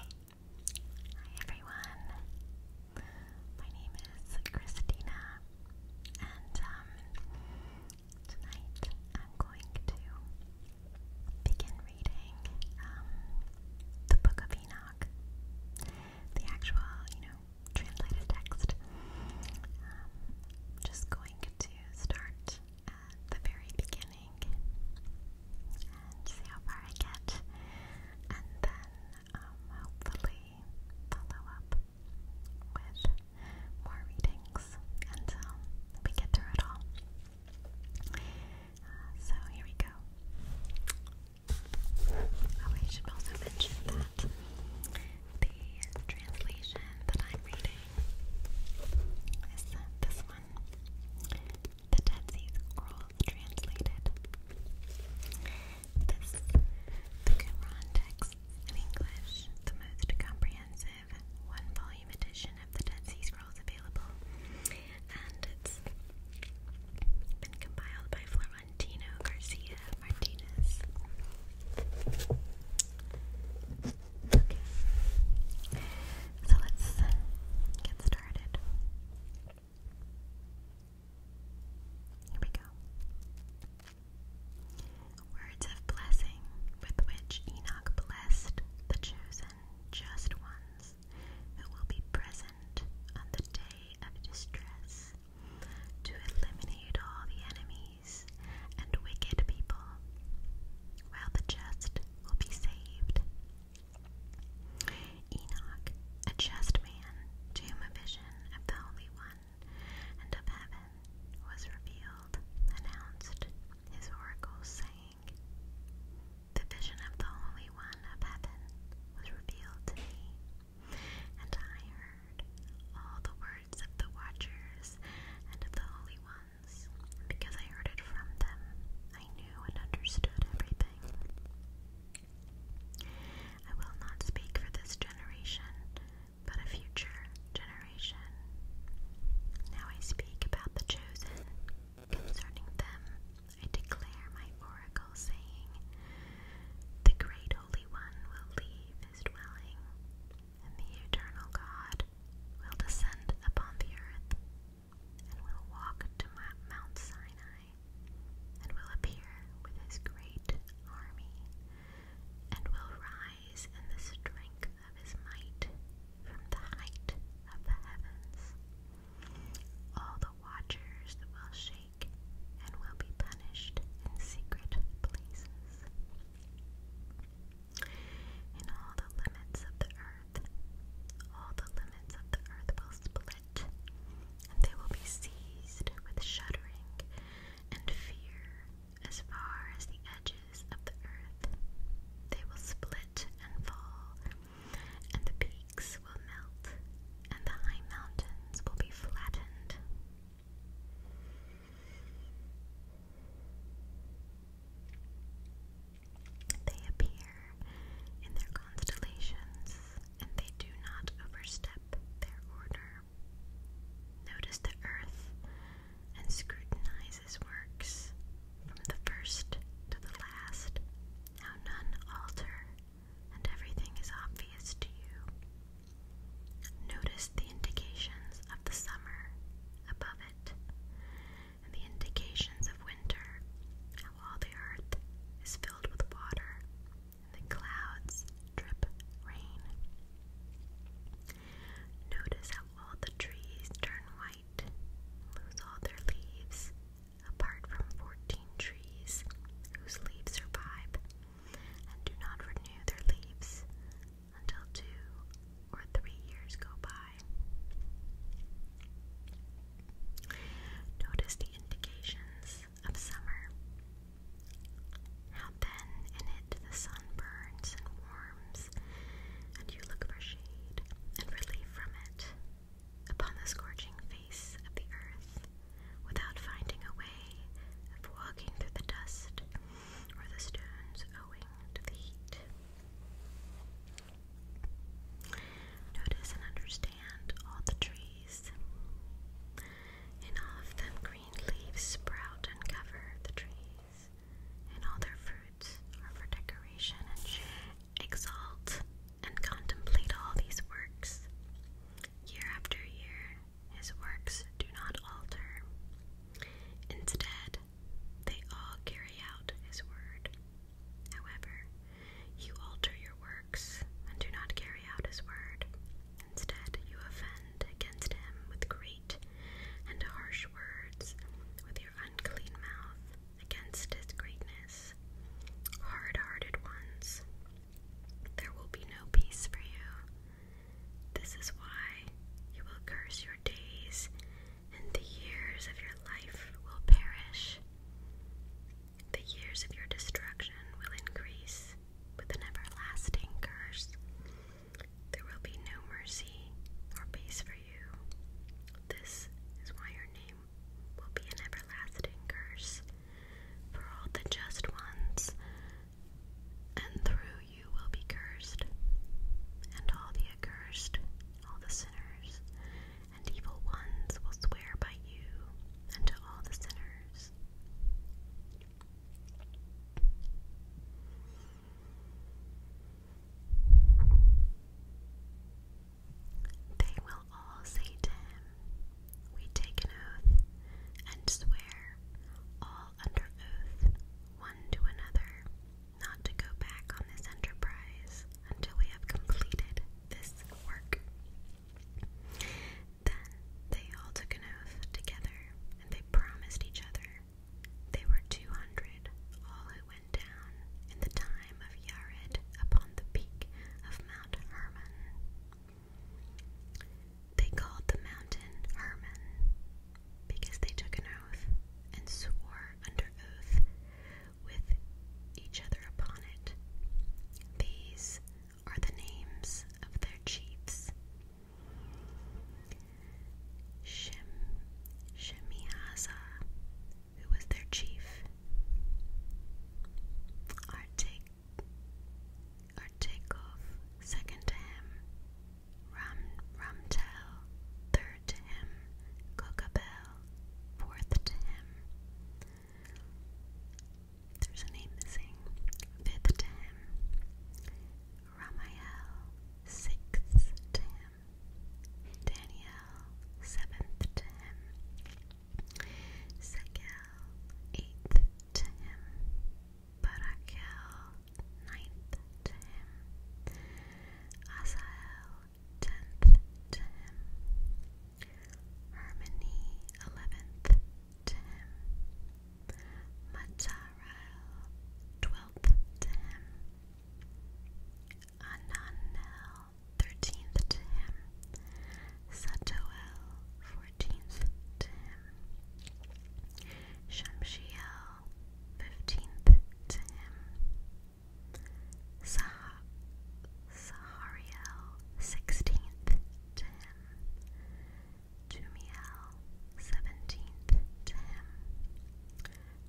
Hi everyone, my name is Christina, and um, tonight I'm going to begin reading um, the Book of Enoch, the actual, you know, translated text. Um, just going to start at the very beginning beginning and see how far I get, and then um, hopefully follow up with more readings until we get through it all. Uh, so here we go. Oh, I should also mention that the translation that I'm reading is this one the Dead Sea Scrolls translated. This, the Qumran text in English, the most comprehensive one-volume edition of the Dead Sea Scrolls available, and it's been compiled by Florentino Garcia Martinez. so let's get started. Here we go. Words of blessing with which Enoch blessed the chosen, just ones who will be present on the day of distress to eliminate all the enemies and wicked people, while the just will be saved Enoch, a just man, to whom a vision of the Holy One and of heaven was revealed, announced his oracles, saying, The vision of the Holy One of heaven was revealed to me, and I heard all the words of the watchers and of the Holy Ones, because I heard it from them. I knew and understood everything. I will not speak for this generation, but a future generation. Now I speak about the chosen. Concerning them, I declare my oracle, saying, The great Holy One will leave his dwelling, and the eternal God will descend upon the earth and will walk to Mount Sinai, and will appear with his great army, and will rise in the strength of his might from the height of the heavens. All the watchers will shake and will be punished in secret places. In all the limits of the earth all the limits of the earth will split, and they will be seized with shuddering and fear as far as the edges of the earth. They will split and fall, and the peaks will melt, and the high mountains will be flattened. They appear in their constellations and they do not overstep their order. Notice the earth and scrutinize works from the first to the last, how none alter and everything is obvious to you. Notice the indications of the summer above it and the indications of winter, how all the earth is filled with water, and the clouds drip rain. Notice how all the trees turn white, lose all their leaves, apart from 14 trees whose leaves survive and do not renew their leaves until two or three years go by. Notice the indications of summer. How then in it the sun burns and warms, and you look for shade and relief from it upon the scorching face of the earth, without finding a way of walking through the dust or the stones owing to the heat. Notice and understand all the trees. and all of them, green leaves sprout and cover the trees, and all their fruits are for decoration and shade. Exalt and contemplate all these works. Year after year, his works do not alter. Instead, they all carry out his word. However, you alter your works and do not carry out his word. Instead, you offend against him with great and harsh words with your unclean mouth against his greatness. Hard hearted ones, there will be no peace for you. This is why you will curse your days and the years of your life will perish. The years of your destruction will increase with an everlasting curse. There will be no mercy or peace for you. This is why your name will be an everlasting curse for all the just ones, and through you will be cursed, and all the accursed all the sinners and evil ones will swear by you and to all the sinners. They will all say to him, We take an oath and swear, all under oath, one to another, not to go back on this enterprise until we have completed this work. Then they all took an oath together and they promised each other. They were two hundred, all who went down in the time of Yared upon the peak of Mount Hermon. They called the mountain Hermon because they took an oath and swore under oath with each other upon it. These are the names of their chiefs. Shem, Shemihazah, who was their chief. Artek, Artekov, second to him. Ram, Ramtel, third Third to him, Cocabel. Fourth to him, there's a name missing. Fifth to him, Ramiel. Sixth to him, Daniel. Seventh to him, Sekel. Eighth to him, Barakel. Ninth to him, Asael tenth to him. Harmony, eleventh to him. Matarael, twelfth to him. Ananel, thirteenth to him. Satoel, fourteenth to him. Shamshiel, fifteenth to him. Sah Sahariel, sixteenth to him. Jumiel, seventeenth to him.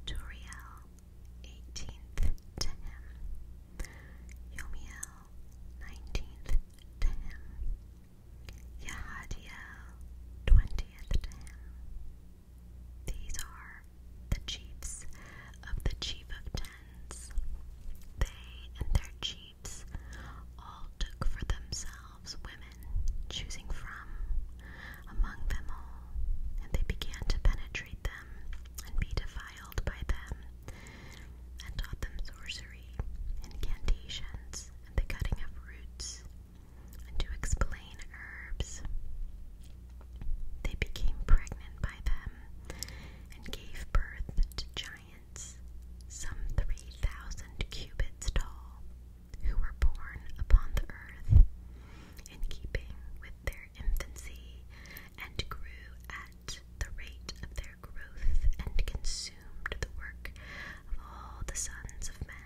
Turiel, eighteenth to him. Yomiel, nineteenth to him. Yahadiel, twentieth to him. These are the chiefs of the chief of tens. They and their chiefs all took for themselves women, choosing from among them all, and they began to penetrate them and be defiled by them, and taught them sorcery, incantations, and the cutting of roots, and to explain herbs. They became pregnant by them and gave birth to giants, some 3,000 cubits tall, who were born upon the earth in keeping with their infancy and grew at the rate of their growth and consumed the work of all the sons of men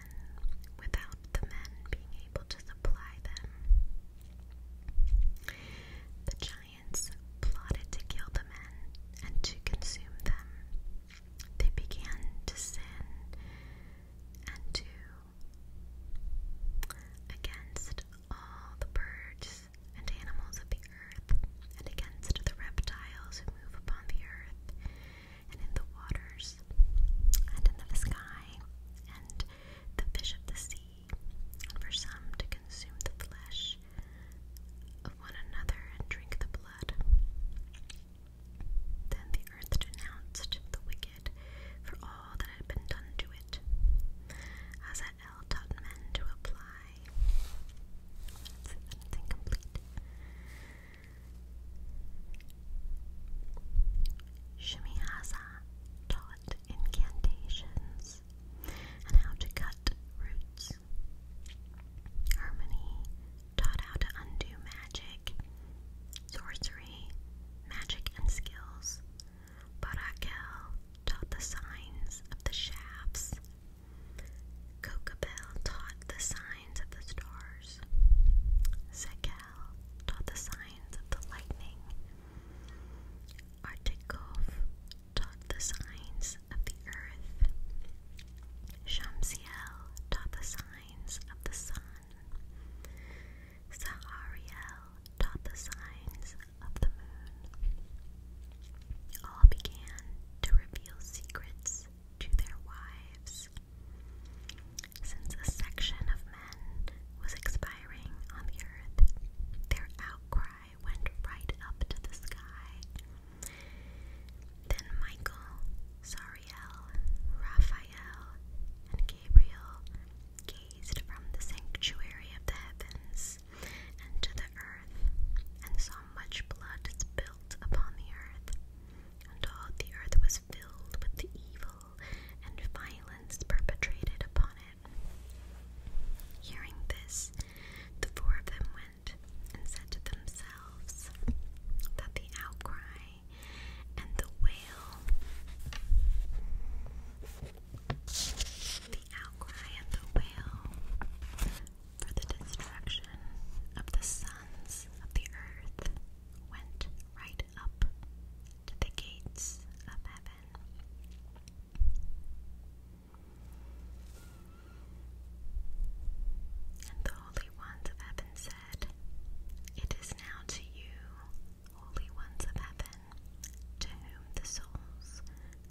without the men being able to supply them. The giants plotted to kill the men and to consume them. They began to sin and to against all the birds and animals of the earth, and against the reptiles who move upon the earth, and in the waters, and in the sky, and the fish of the sea, and for some to consume the flesh of one another and drink the blood. Then the earth denounced the wicked for all that had been done to it, as at El taught men to apply. It's incomplete. Shimihaza taught incantations and how to cut roots. Harmony taught how to undo magic, sorcery, magic, and skills. Barakel taught the signs of the shafts. Cocobell taught the signs of the stars. Zeke fell taught the signs of the lightning. Artikov taught the signs of the earth. Shamsiel taught the signs of the sun. Sahariel taught the signs of the moon. All began to reveal secrets to their wives. Since a section of men was expiring on the earth, their outcry went right up to the sky. Then Michael, Sariel, Raphael, and Gabriel gazed from the sanctuary of the heavens and the earth, and saw much blood spilled upon the earth, and all the earth was filled with the evil and violence perpetrated upon it. Hearing this, the four of them went and said to themselves that the outcry and the wail, the outcry and the wail for the destruction of the sons of the earth went right up to the gates of heaven. And the holy ones of heaven said, It is now to you, holy ones of heaven, to whom the souls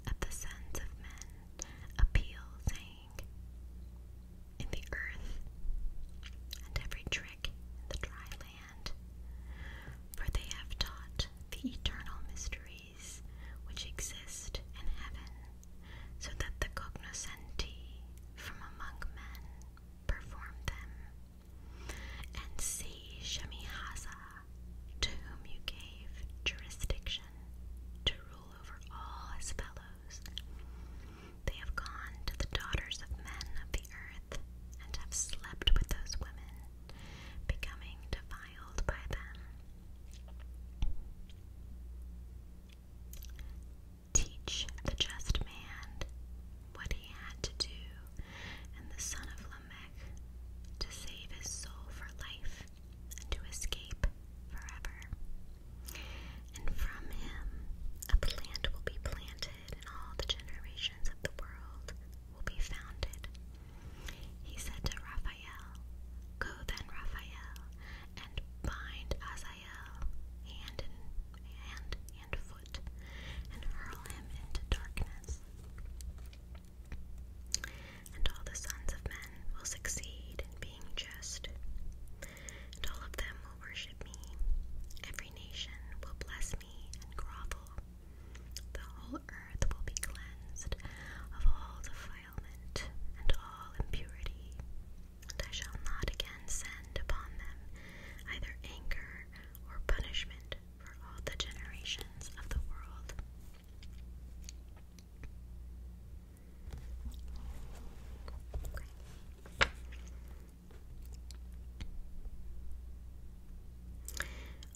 of the sons of men appeal, saying, in the earth, and every trick in the dry land. For they have taught the eternal mysteries which exist in heaven, so that the cognoscenti from among men perform them. And see Shemihaza, to whom you gave jurisdiction to rule over all his fellows, they have gone to the daughters of men of the earth and have slept with those women, becoming defiled by them. Teach the just man what he had to do, and the son of Lamech to save his soul for life and to escape forever. And from him a plant will be planted, and all the generations of the world will be founded. He said to Raphael, Go then, Raphael, and bind Azael hand and hand and foot, and hurl him into darkness. And all the sons of men will succeed in being just, and all of them will worship me. Every nation will bless me and grovel. The whole earth will be cleansed of all defilement and all impurity, and I shall not again send upon them either anger or punishment for all the generations of the world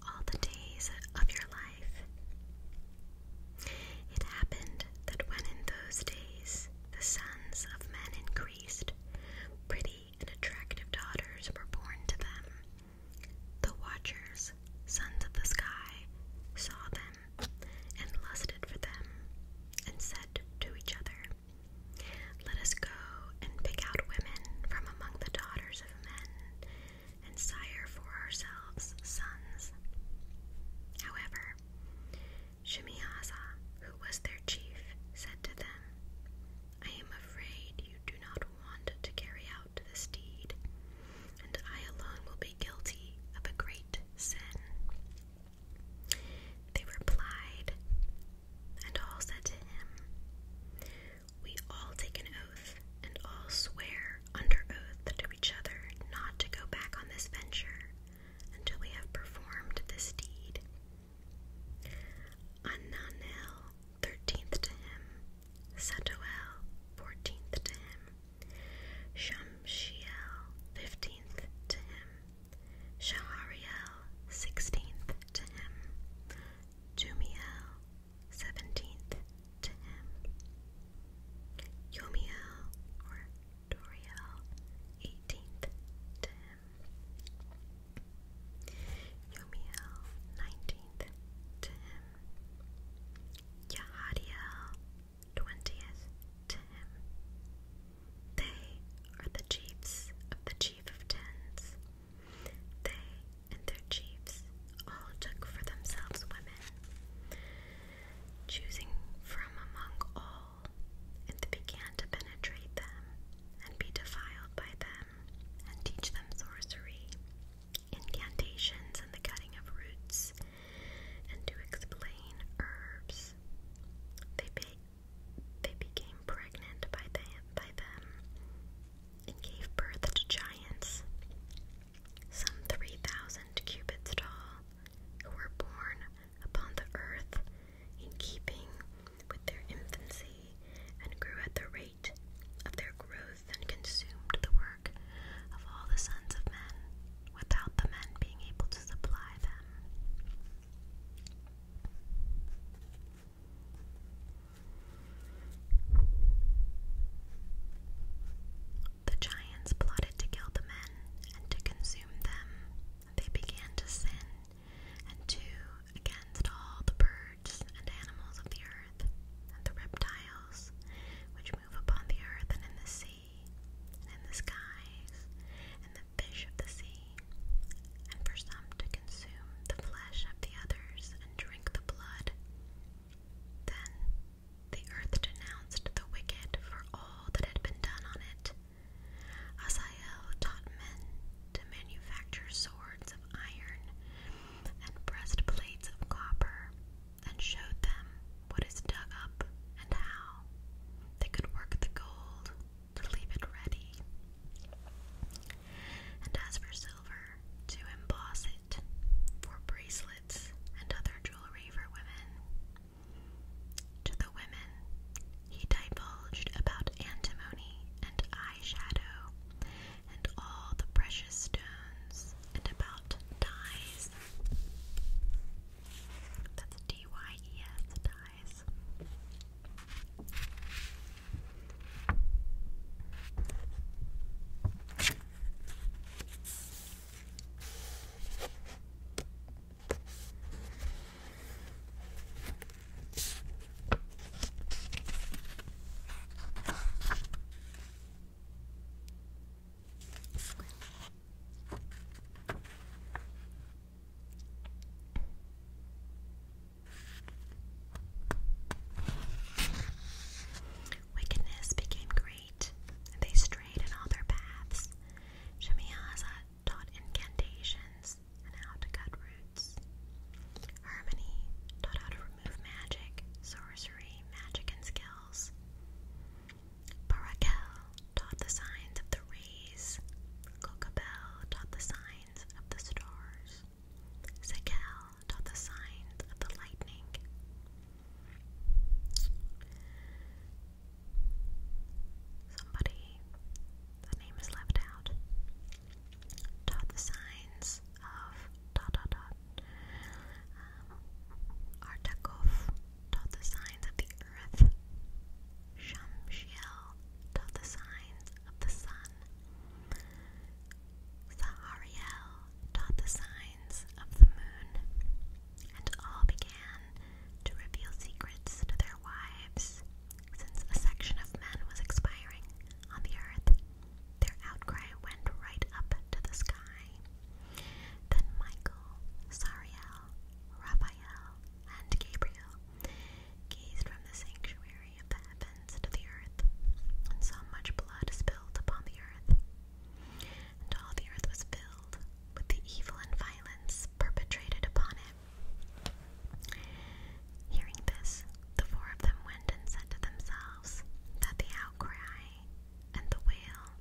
all the days of your life. It happened that when in those days the sons of men increased, pretty and attractive daughters were born to them. The watchers, sons of the sky, saw them and lusted for them and said to each other, let us go and pick out women from among the daughters of men, and sire for ourselves sons. However, Shemihazah, who was their chief, said to them, I am afraid you do not want to carry out this deed, and I alone will be guilty of a great sin. They replied and all said to him, We all take an oath and all swear under oath to each other not to go back on this venture until we have performed this deed. Ananel, thirteenth to him, Setoel, fourteenth to him, Shamshiel, fifteenth to him, Shahariel, sixteenth to him, Jumiel, seventeenth to him, Yomiel or Doriel, eighteenth to him, Yomiel, nineteenth to him, Yahadiel, twentieth to him. They are the chiefs of the chief of tens. They and their chiefs all took for themselves women, choosing from among all, and began to penetrate them, and be defiled by them, and teach them sorcery, incantations, and the cutting of roots, and to explain herbs. They paid they became pregnant by them, and gave birth to giants, some 3,000 cubits tall, who were born upon the earth in keeping with their infancy and grew at the rate of their growth and consumed the work of all the sons of men without the men being able to supply them. The giants plotted to kill the men and to consume them. They began to sin and to against all the birds and animals of the earth and the reptiles which move upon the earth and in the sea and the skies, and the fish of the sea, and for some to consume the flesh of the others and drink the blood. Then the earth denounced the wicked for all that had been done on it. Asael taught men to manufacture swords of iron and breastplates of copper, and showed them what is dug up and how. They could work the gold to leave it ready. And as for silver, to emboss it for bracelets and other jewelry for women. To the women, he divulged about antimony and eye shadow and all the precious stones and about dyes. That's D Y E S dyes. Wickedness became great, and they strayed in all their paths. Shemiazah taught incantations and how to cut roots. Harmony taught how to remove magic, sorcery, magic, and skills. Parakel taught the signs of the rays. Kokabel taught the signs of the stars. Sekel taught the signs of the lightning. Somebody, the name is left out, taught the signs of dot dot dot. Artakov taught the signs of the earth. Shamshiel taught the signs of the sun. Sahariel taught the signs of the moon. And all began to reveal secrets to their wives. Since a section of men was expiring on the earth, their outcry went right up to the sky. Then Michael, Sariel, Raphael, and Gabriel gazed from the sanctuary of the heavens to the earth, and saw much blood spilled upon the earth. And all the earth was filled with the evil and violence perpetrated upon it. Hearing this, the four of them went and said to themselves that the outcry and the wail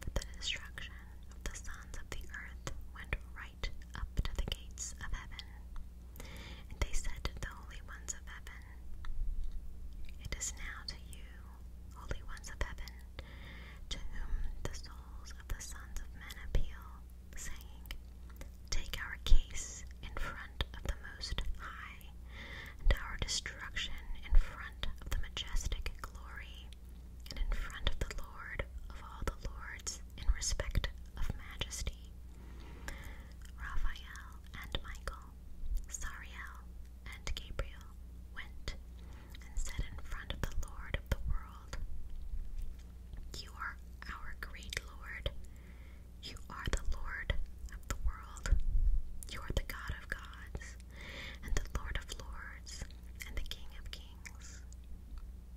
but the destruction of the sons of the earth went right up to the gates of heaven. And they said to the holy ones of heaven, It is now to you, holy ones of heaven, to whom the souls of the sons of men appeal, saying, Take our case in front of the Most High, and our destruction in front of the majestic glory and in front of the Lord of all the lords in respect of majesty, Raphael and Michael, Sariel and Gabriel went and said in front of the Lord of the world, You are our great Lord, you are the Lord of the world, you are the God of gods, and the Lord of Lords, and the King of Kings.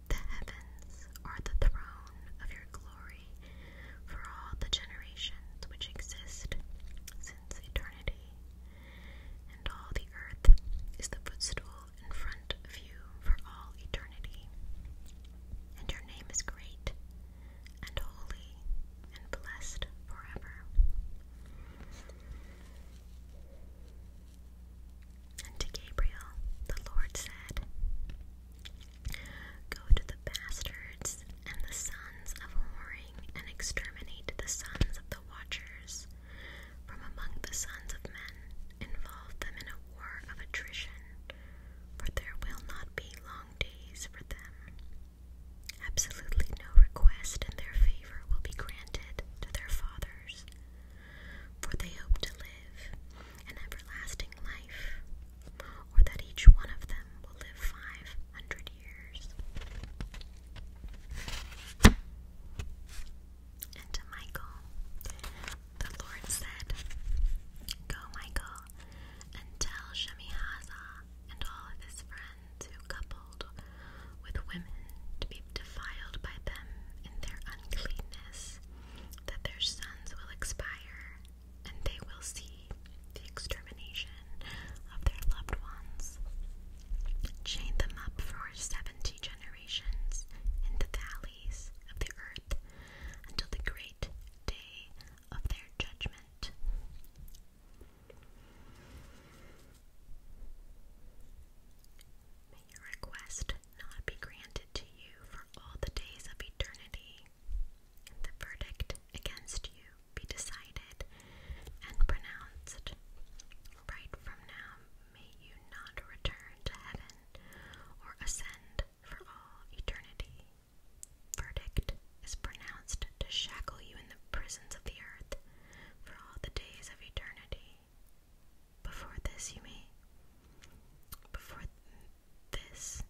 The heavens are the throne of your glory for all the generations which exist since eternity, and all the earth is the footstool in front of you for all eternity. And your name is great and holy and blessed forever. And to Gabriel the Lord said, Go to the bastards and the sons of whoring, and exterminate the sons of the watchers from among the sons of men, involve them in a war of attrition, for there will not be long days for them. Absolutely no request in their will be granted to their fathers, for they hope to live an everlasting life, or that each one of them will live five hundred years. And to Michael, the Lord said, Go, Michael, and tell Shemihaza and all of his friends who coupled with women to be defiled by them in their uncleanness, that their sons will expire, and they will see the extermination of their loved ones. Chain them up for seventy generations in the valleys of the earth until the great day of their judgment. May your request not be granted to you for all the days of eternity, the verdict against you be decided and pronounced. Right from now, may you not return to heaven or ascend for all eternity. Verdict is pronounced to shackle you in the prisons of the earth for all the days of eternity. Before this, you may. Before this,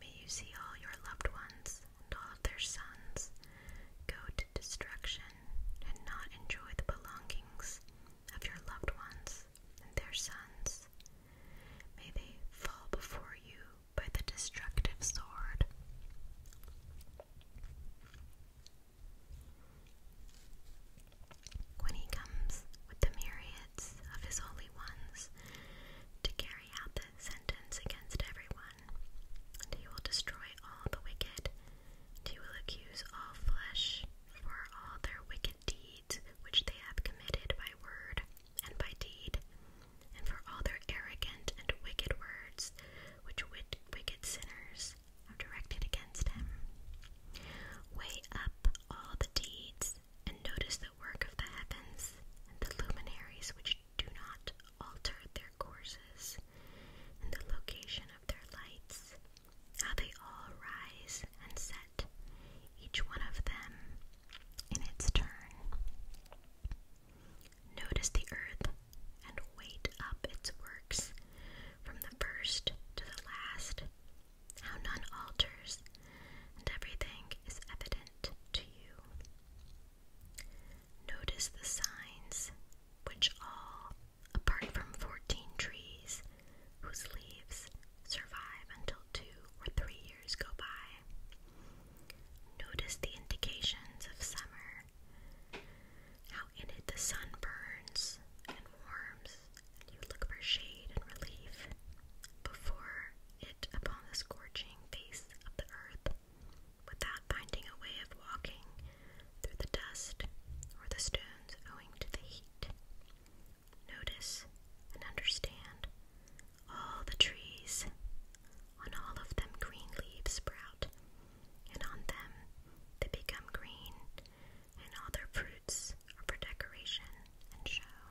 may you see all your loved ones and all of their sons go to destruction and not enjoy the belongings of your loved ones and their sons. May they fall before you by the destructive sword. When he comes with the myriads of his holy ones to carry out the sentence against everyone, and he will destroy all the wicked, and he will accuse all flesh for all their wicked deeds which they have committed by word and by deed, and for all their arrogant and wicked words which wicked sinners have directed against him. Weigh up all the deeds, and notice the work of the heavens and the luminaries which do not alter their courses, and the location of their lights, how they all rise and set, each one of them in its turn. Notice the earth and wait up its works from the first to the last, how none alters, and everything is evident to you. Notice the signs, which all, apart from fourteen trees, whose leaves survive until two or three years go by. Notice the indications of summer how in it the sun burns and warms, and you look for shade and relief before it upon the scorching face of the earth, without finding a way of walking through the dust or the stones owing to the heat. Notice and understand all the trees, on all of them, green leaves sprout, and on them they become green, and all their fruits are for decoration and show.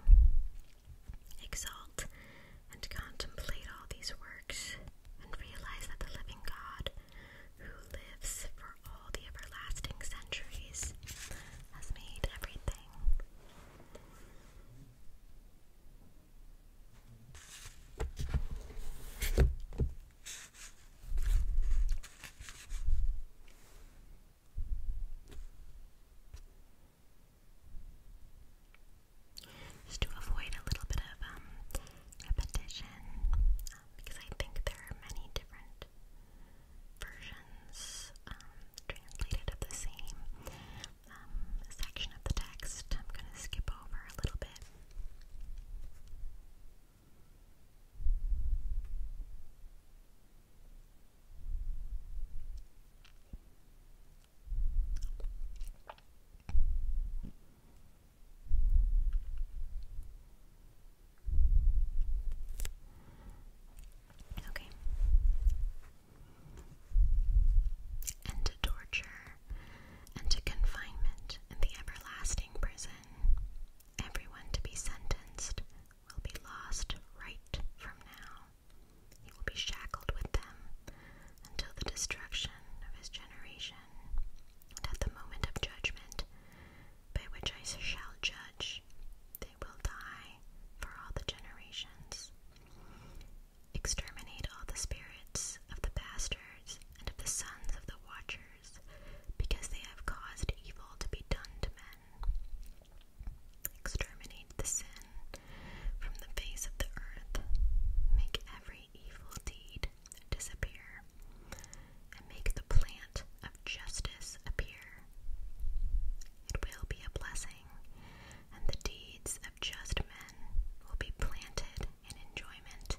Exalt and contemplate all these works, and realize that the living God, who lives for all the everlasting centuries, has made everything. Just to avoid a little bit of um, repetition, um, because I think there are many different versions um, translated of the same section of the text. I'm going to skip over a little bit Okay. And torture and to confinement in the everlasting prison. Everyone to be sentenced will be lost right from now. He will be shackled with them until the destruction of his generation, and at the moment of judgment, by which I shall judge, they will die for all the generations. Exterminate all the spirits of the bastards and of the sons of the watchers, because they have caused evil to be done to men. Exterminate the sin from the face of the earth. Make every evil deed disappear, and make the plant of justice appear. It will be a blessing, and the deeds of just men will be planted and enjoyment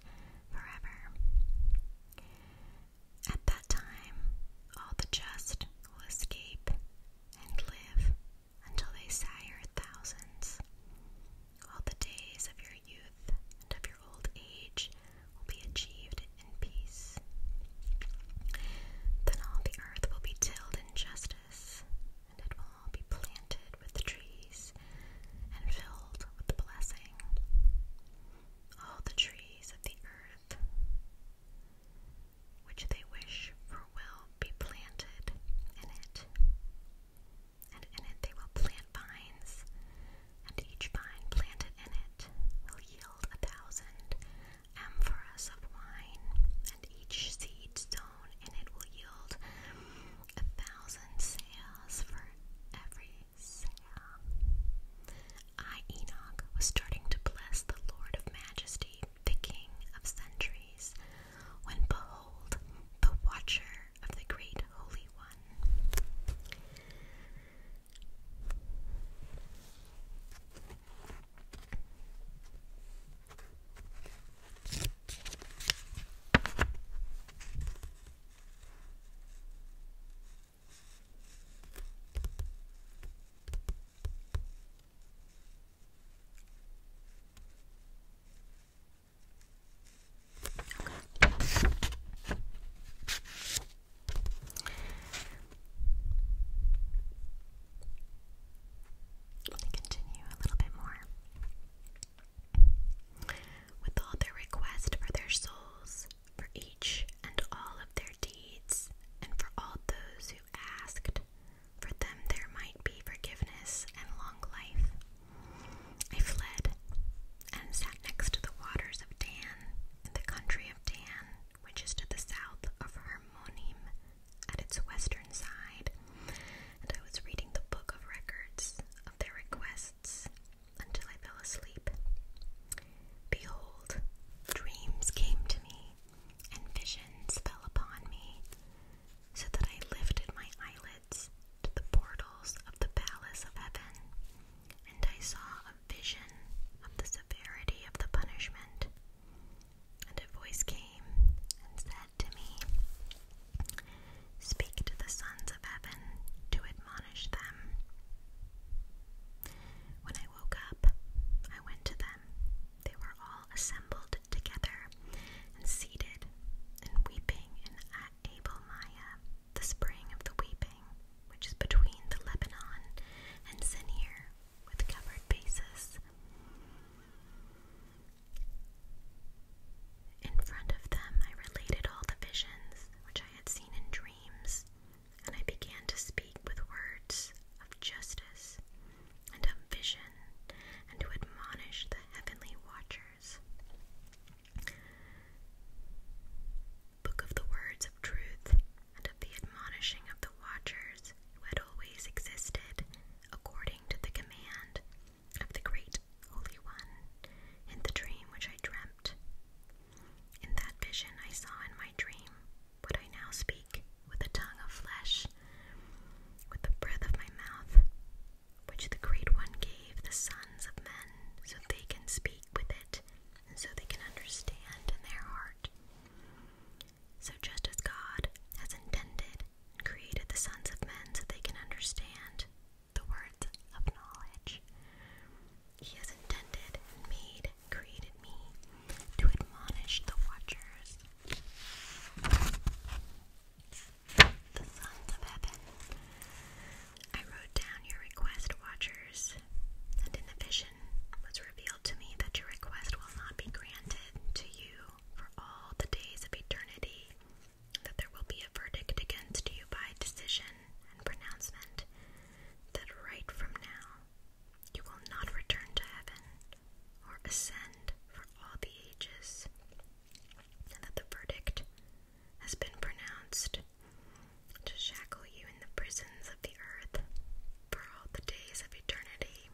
forever. At that time, all the just will escape and live until they sire thousands. All the days of your youth and of your old age will be achieved in peace. Then all the earth will be tilled in justice, and it will be planted with the trees and filled with the blessing. All the trees of the earth which they wish for will be planted in it, and in it they will plant vines, and each vine planted in it will yield a thousand amphoras of wine, and each seed phone was starting to bless the Lord of Majesty, the King of Centuries, when behold, the Watcher of the Great Holy One. I'm continue a little bit more. With all their request for their souls, for each and all of their deeds, and for all those who asked, for them there might be forgiveness and long life. I fled and sat next to the waters of Dan, in the country of Dan, which is to the south of Hermonim at its western side, and I was reading the book of records of their requests until I fell asleep. Behold, dreams came to me, and visions fell upon me, so that I lifted my eyelids to the portals of the palace of heaven, and I saw a vision of the severity of the punishment. And a voice came and said to me, Speak to the sons of heaven to admonish them. When I woke up, I went to them. They were all assembled together and seated and weeping in Abel the spring of the weeping, which is between the Lebanon and Sinir, with covered bases. In front of them, I related all the visions which I had seen in dreams, and I began to speak with words of justice and of vision, and to admonish the heavenly watchers. Book of the words of truth and of the admonishing of the watchers who had always existed according to the command of the Great Holy One in the dream which I dreamt. In that vision I saw in my dream what I now speak with a tongue of flesh, with the breath of my mouth, which the Great One gave the sons of men so they can speak with it and so they can understand in their heart. So, just as God has intended and created the sons of men so they can understand the words of knowledge. He has intended and made, created me to admonish the watchers. The sons of heaven. I wrote down your request, watchers, and in the vision was revealed to me that your request will not be granted to you for all the days of eternity, that there will be a verdict against you by decision and pronouncement, that right from now you will not return to heaven or ascend for all the ages, and that the verdict has been pronounced to shackle you in the prisons of the earth for all the days of eternity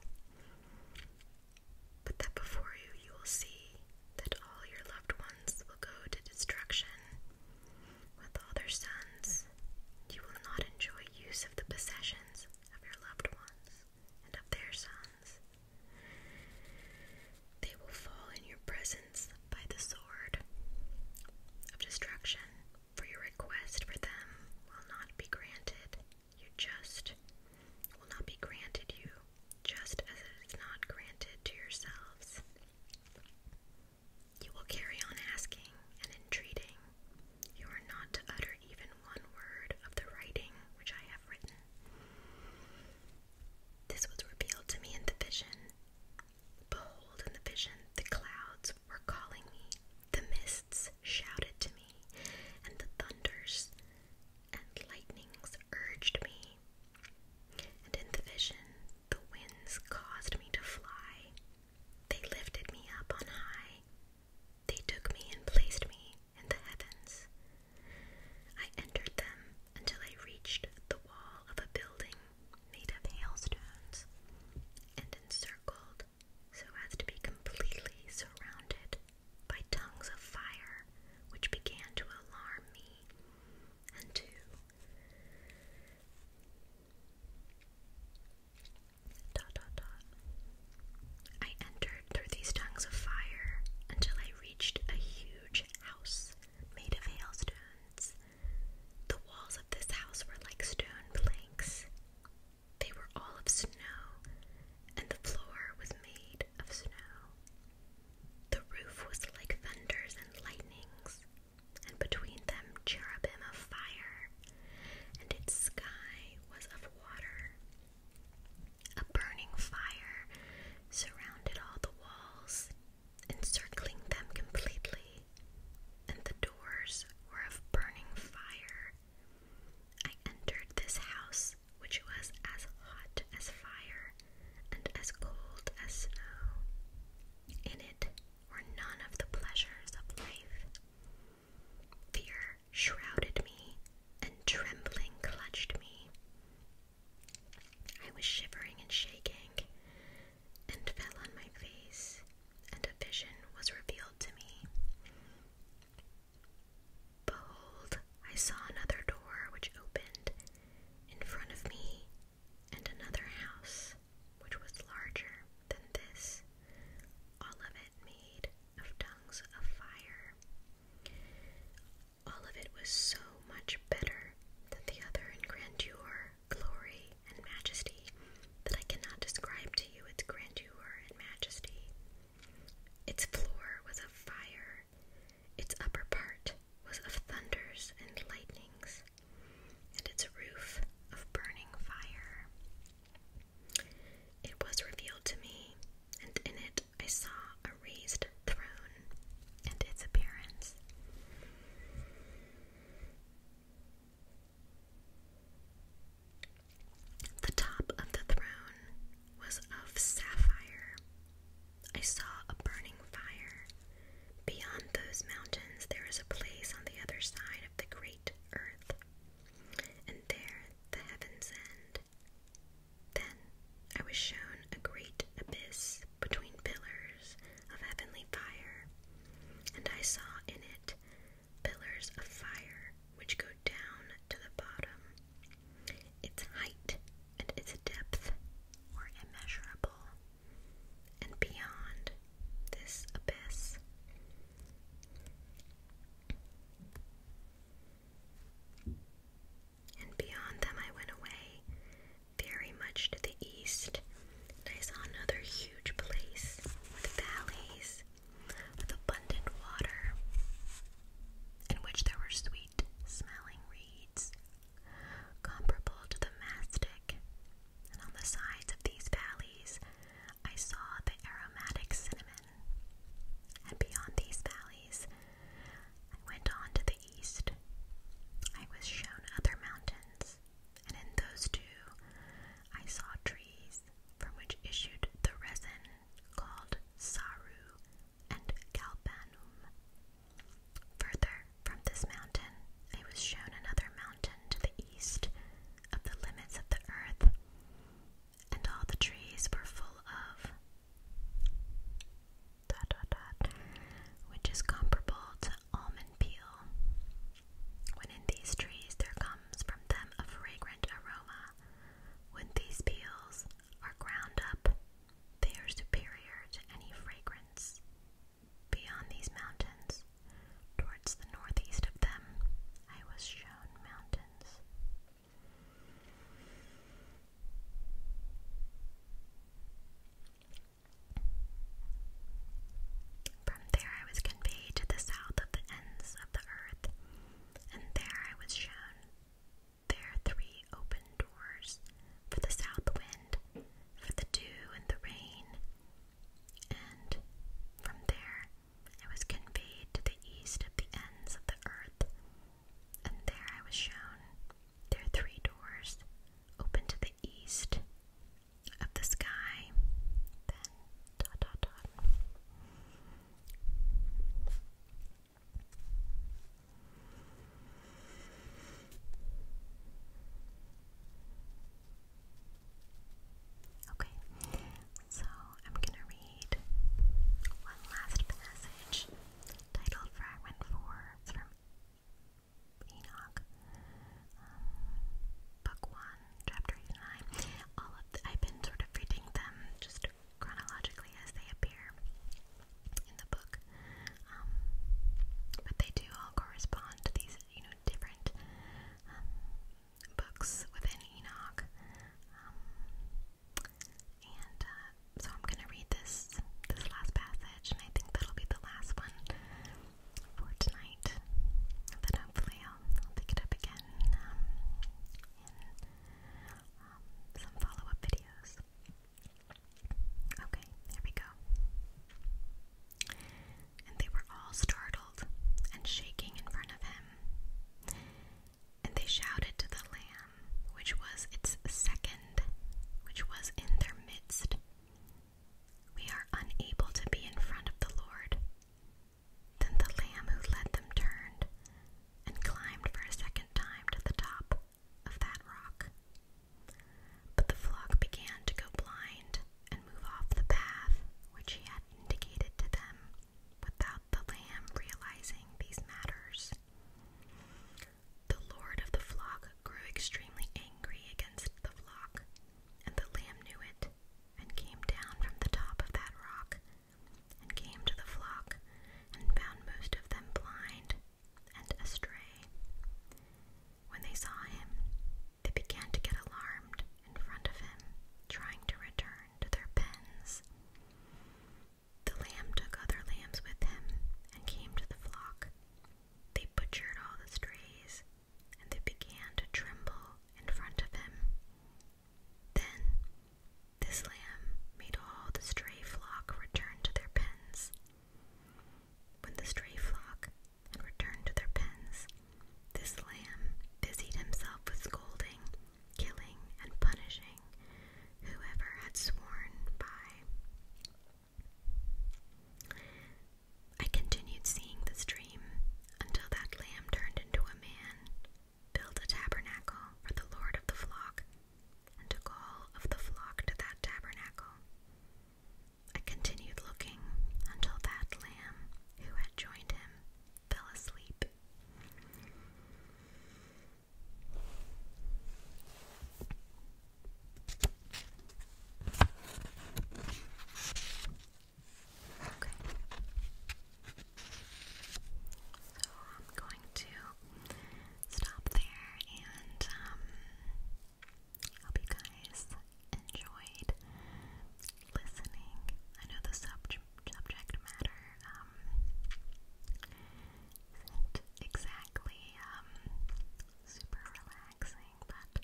but that before you you will see that all your loved ones will go to destruction with all their sons. You will not enjoy use of the possessions of your loved ones and of their sons. They will fall in your presence by the sword of destruction, for your request for them will not be granted, you just will not be granted you, just as it is not granted to yourselves. You will carry on asking and entreating. You are not to utter even one word of the writing which I have written. This was revealed to me in the vision. Behold, in the vision, the clouds were calling me, the mists shouted to me, and the thunders and lightnings urged me, and in the vision the winds caused me to fly. They lifted me up on high. They took me and placed me in the heavens. I entered them until I reached the wall of a building made of hailstones and encircled so as to be completely surrounded by tongues of fire, which began to alarm me. And two, I entered through these tongues of fire until I reached a huge house made of hailstones. The walls of this house were like stone planks. They were all of snow and the floor was made of snow. The roof was like thunders and lightnings, and between them cherubim of fire, and its sky was of water. A burning fire surrounded all the walls, encircling them completely, and the doors were of burning fire, I entered this house, which was as hot as fire and as cold as snow. In it were none of the pleasures of life. Fear shrouded me, and trembling clutched me. I was shivering and shaking, and fell on my face, and a vision was revealed to me. Behold, I saw another door which opened in front of me, and another house which was larger than this, all of it made of tongues of fire. All of it was so much better than the other in grandeur, glory, and majesty that I cannot describe to you its grandeur and majesty. Its floor was of fire, its upper part was of thunders and lightnings, and its roof of burning fire. It was revealed to me, and in it I saw a raised throne and its appearance. The top of the throne was of sapphire. I saw a burning fire. Beyond those mountains, there is a place on the other side of the great earth, and there the heavens end. Then I was shown a great abyss between pillars of heavenly fire, and I saw in it pillars of fire which go down to the bottom. Its height and its depth were immeasurable, and beyond this abyss, and beyond them, I went away very much to the east, I saw another huge place with valleys with abundant water, in which there were sweet smelling reeds, comparable to the mastic, and on the sides of these valleys I saw the aromatic cinnamon. And beyond these valleys, I went on to the east. I was shown other mountains, and in those too, I saw trees from which issued the resin called Saru, and Kalpanum. Further from this mountain, I was shown another mountain to the east of the limits of the earth, and all the trees were full of dot dot dot, which is comparable to almond peel. When in these trees there comes from them a fragrant aroma, when these peels are ground up, they are superior to any fragrance. Beyond these mountains, towards the northeast of them, I was shown mountains. From there, I was conveyed to the south of the ends of the earth, and there I was shown their three open doors for the south wind, for the dew and the rain, and from there I was conveyed to the east of the ends of the earth, and there I was shown their three doors open to the east of the sky, then dot dot dot. Okay, so I'm going to read one last passage titled Fragment 4. from Enoch, um, Book 1, chapter 89. All of I've been sort of reading them just chronologically as they appear in the book. Um, but they do all correspond to these, you know, different um, books within Enoch. Um, and uh, so I'm going to read this this last passage, and I think that'll be the last one for tonight. And hopefully I'll, pick it up again in um, some follow up videos. Okay, there we go. And they were all startled and shaking in front of him. And they shouted to the lamb, which was its second, which was in their midst. We are unable to be in front of the Lord, then the lamb who led them turned and climbed for a second time to the top of that rock. But the flock began to go blind and move off the path which he had indicated to them without the lamb realizing these matters. The lord of the flock grew extremely angry against the flock, and the lamb knew it and came down from the top of that rock and came to the flock, and found most of them blind and astray. When they saw him, they began to get alarmed in front of him, trying to return to their pens. The lamb took other lambs with him and came to the flock. They butchered all the strays, and they began to tremble in front of him. Then this lamb made all the stray flock return to their pens. When the stray flock returned to their pens, this lamb busied himself with scolding, killing, and punishing whoever had sworn by. I continued seeing this dream until that lamb turned into a man, built a tabernacle for the Lord of the flock, and took all of the flock to that tabernacle. I continued looking until that lamb who had joined him fell asleep. Okay. So I'm going to stop there and um, hope you guys enjoyed listening. I know the sub subject matter um, isn't exactly um, super relaxing, but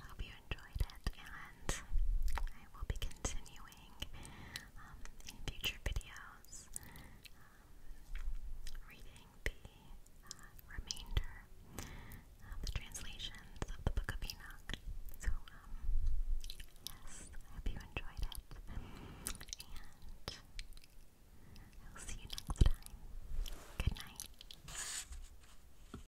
I hope you enjoyed it, and I will be continuing um, in future videos um, reading the uh, remainder of um, the translations of the Book of Enoch. So, yes, I hope you enjoyed it, and I will see you next time. Good night.